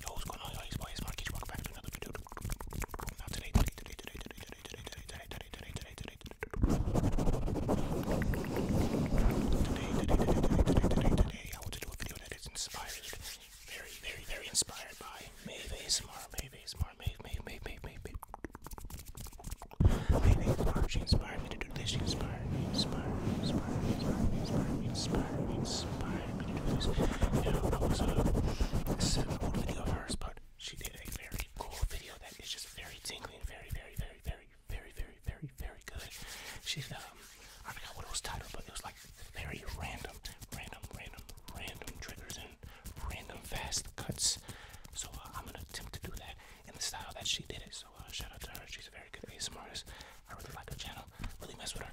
Yo, what's going on, y'all? It's boy, it's Mark. Welcome back to another video. Now today, today, today, today, today, today, today, today, today, today, today, today, I want to do a video that is inspired, very, very, very inspired by Maeve ASMR, Maeve ASMR, Maeve, Maeve, Maeve, Maeve, Maeve, Maeve ASMR. She inspired me to do this. She inspired me, inspired me, inspired me, inspired me, inspired me, inspired me, inspired me. I was uh, this video of hers, but she did a very cool video that is just very tingly and very, very, very, very, very, very, very, very good. She's um, I forgot what it was titled, but it was like very random, random, random, random triggers and random fast cuts. So I'm gonna attempt to do that in the style that she did it. So uh, shout out to her. She's a very good ASMR artist. I really like her channel. Really mess with her.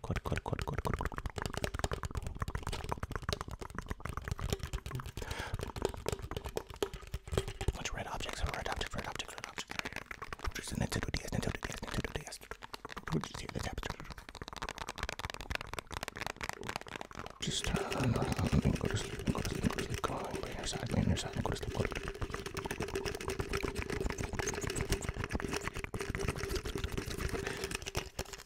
quad, quad, quad, quad, quad, quad, quad, Bunch of red objects, red objects, red objects, red objects. Just Nintendo DS, Nintendo DS, Nintendo DS. Just hear this happen. Just turn around and go to sleep, go to sleep, go to sleep. Come on, lay on your side, lay on your side, and go to sleep, go to sleep.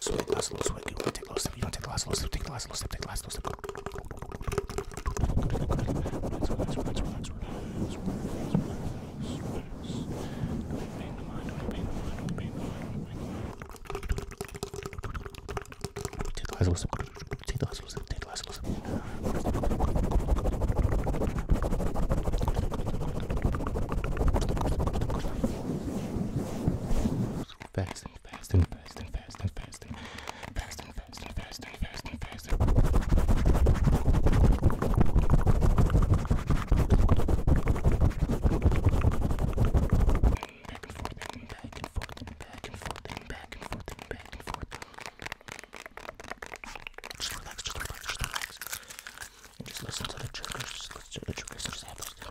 Sweat, last little sweat. You want to take low step. You want to take the last little step. Take the last little step. Take the last little step. Relax, relax, relax, relax, relax, relax, relax. Don't pain the mind. Don't pain the mind. Don't pain the mind. Don't pain the mind. Take the last little step. Take the last little step. Take the last little step. Thanks and fast and fast and fast and fast and fast and fast and fast and fast and fast and back and forth and back and forth and back and forth and back and forth and back and forth. Just relax, just relax, just relax. And just listen to the triggers, just listen to the triggers and just have those things.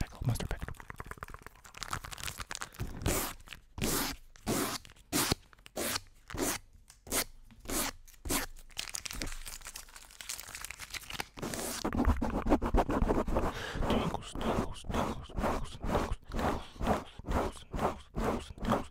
Pickled mustard, pickled. Tingles, tingles, tingles, tingles, tingles, tingles, tingles, tingles, tingles, tingles.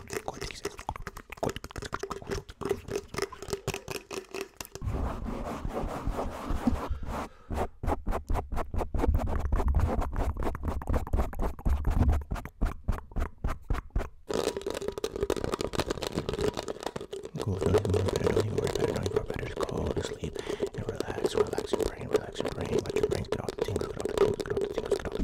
Go down, go better, don't you worry about it, don't you worry about it, just go to sleep and relax, relax your brain, relax your brain, let your brain get all the tingles, get all the tingles, get all the tingles, get all the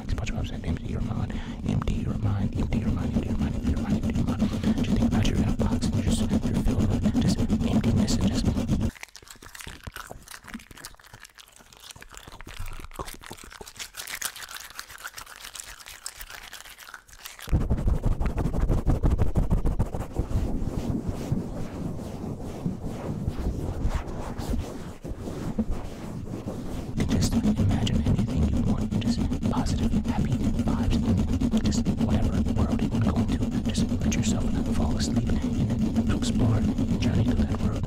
like SpongeBob said, empty your mind, empty your mind, empty your mind, empty your mind, empty your mind, empty your mind. Just think about your box and just your filled with just emptiness and just just imagine anything you want. Just positive, happy vibes. Just whatever world you want to Just let yourself fall asleep and explore the journey to that world.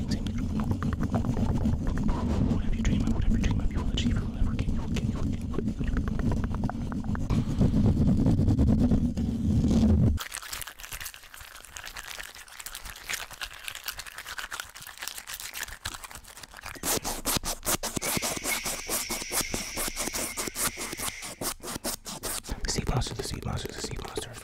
things in you. Whatever you dream of, whatever you dream of, you will achieve, you will ever get, you will get, you will get. The sea monster, the sea monster, the sea monster.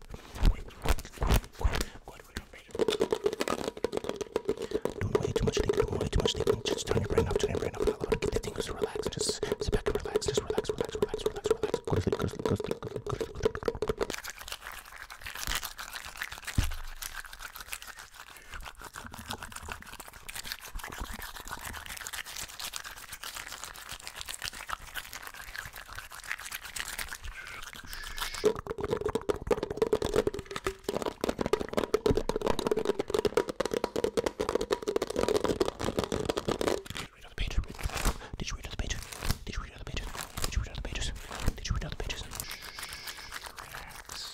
quick, quick, quick, quick, quick, quick. Don't way too much thinking, don't way too much thinking. Just turn your brain off, turn your brain off. Allow it get the things relax. Just sit back and relax. Just relax, relax, relax, relax, relax. Go to sleep, go to sleep, go to sleep, go to sleep, go to sleep. Go to sleep read all the pages? Did you read all the pages? Did you read all the pages? Did you read all the pages? Did you read all the pages? Relax.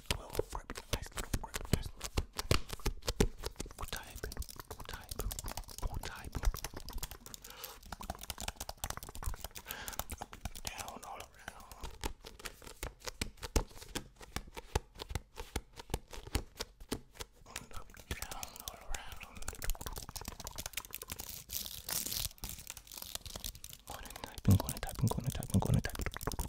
nice little grip, nice little grip, nice little grip. Good type, good type, good type. Down all around. And up, down all around. Go and type, go and type, go and type, go and type.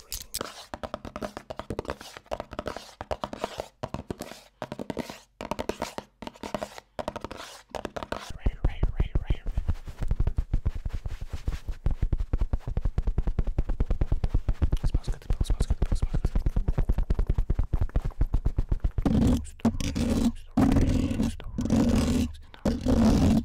Right, right, right, right. It smells good, it smells good, it smells good. Stories, stories, stories, stories.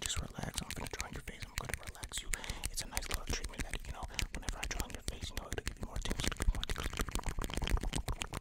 Just relax. I'm gonna draw on your face. I'm gonna relax you. It's a nice little treatment that you know. Whenever I draw on your face, you know it'll give you more tips. It'll give you more tips.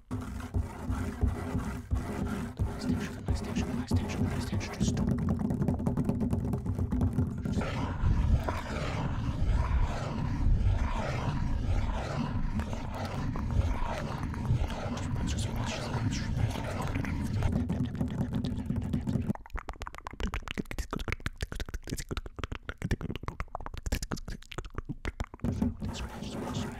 Last action, last action, last action, last action. Just stop. Just stop.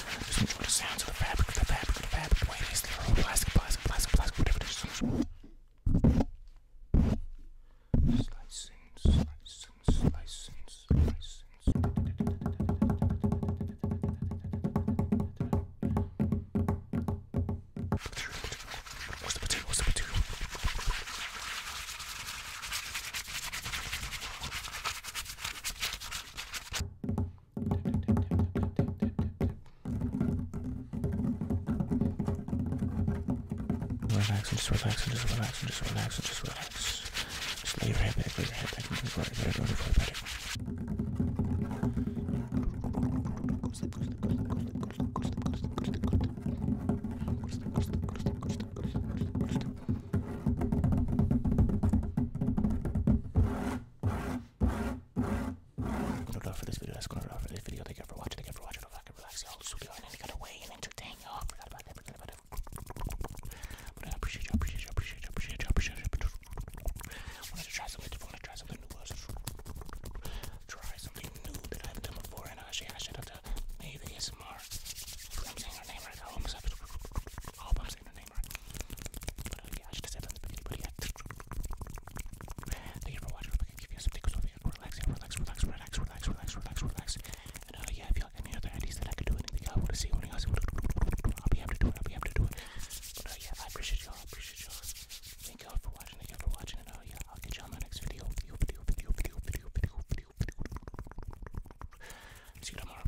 Just enjoy the sounds of the fabric, the fabric, the fabric, the way it is, the old plastic, plastic, plastic, plastic, whatever it is. Slicing, slicing, slicing, slicing. What's the material? What's the material? Relax and just relax and just relax and just relax and just relax. Just lay your head back, lay your head back, move right, better, don't worry about it. That'll for this video. That's gonna do for this video. Thank you for watching. Thank you for watching. Don't fucking relax, y'all. So go and get away and entertain y'all. Forgot about that. Forgot about it. But I appreciate you. Appreciate you. Appreciate you. Appreciate you. Appreciate you. Wanted to try something different. Wanted to try something new. Was try something new that I haven't done before. And actually, I should have to maybe ASMR. I'm saying her name right now. I'm Oh, uh, I Thank you for watching. I hope I can give you some tickles over here. Relax, relax, relax, relax, relax, relax, relax, relax. And uh, yeah, if you like any other ideas that I could do anything, I want to see anything else, I'll be happy to do it. I'll be to do uh, yeah, I appreciate y'all. I appreciate y'all. Thank y'all for watching. Thank y'all for watching. And yeah, I'll get y'all in my next video. Video, video, video, video, video, video, video. See you tomorrow.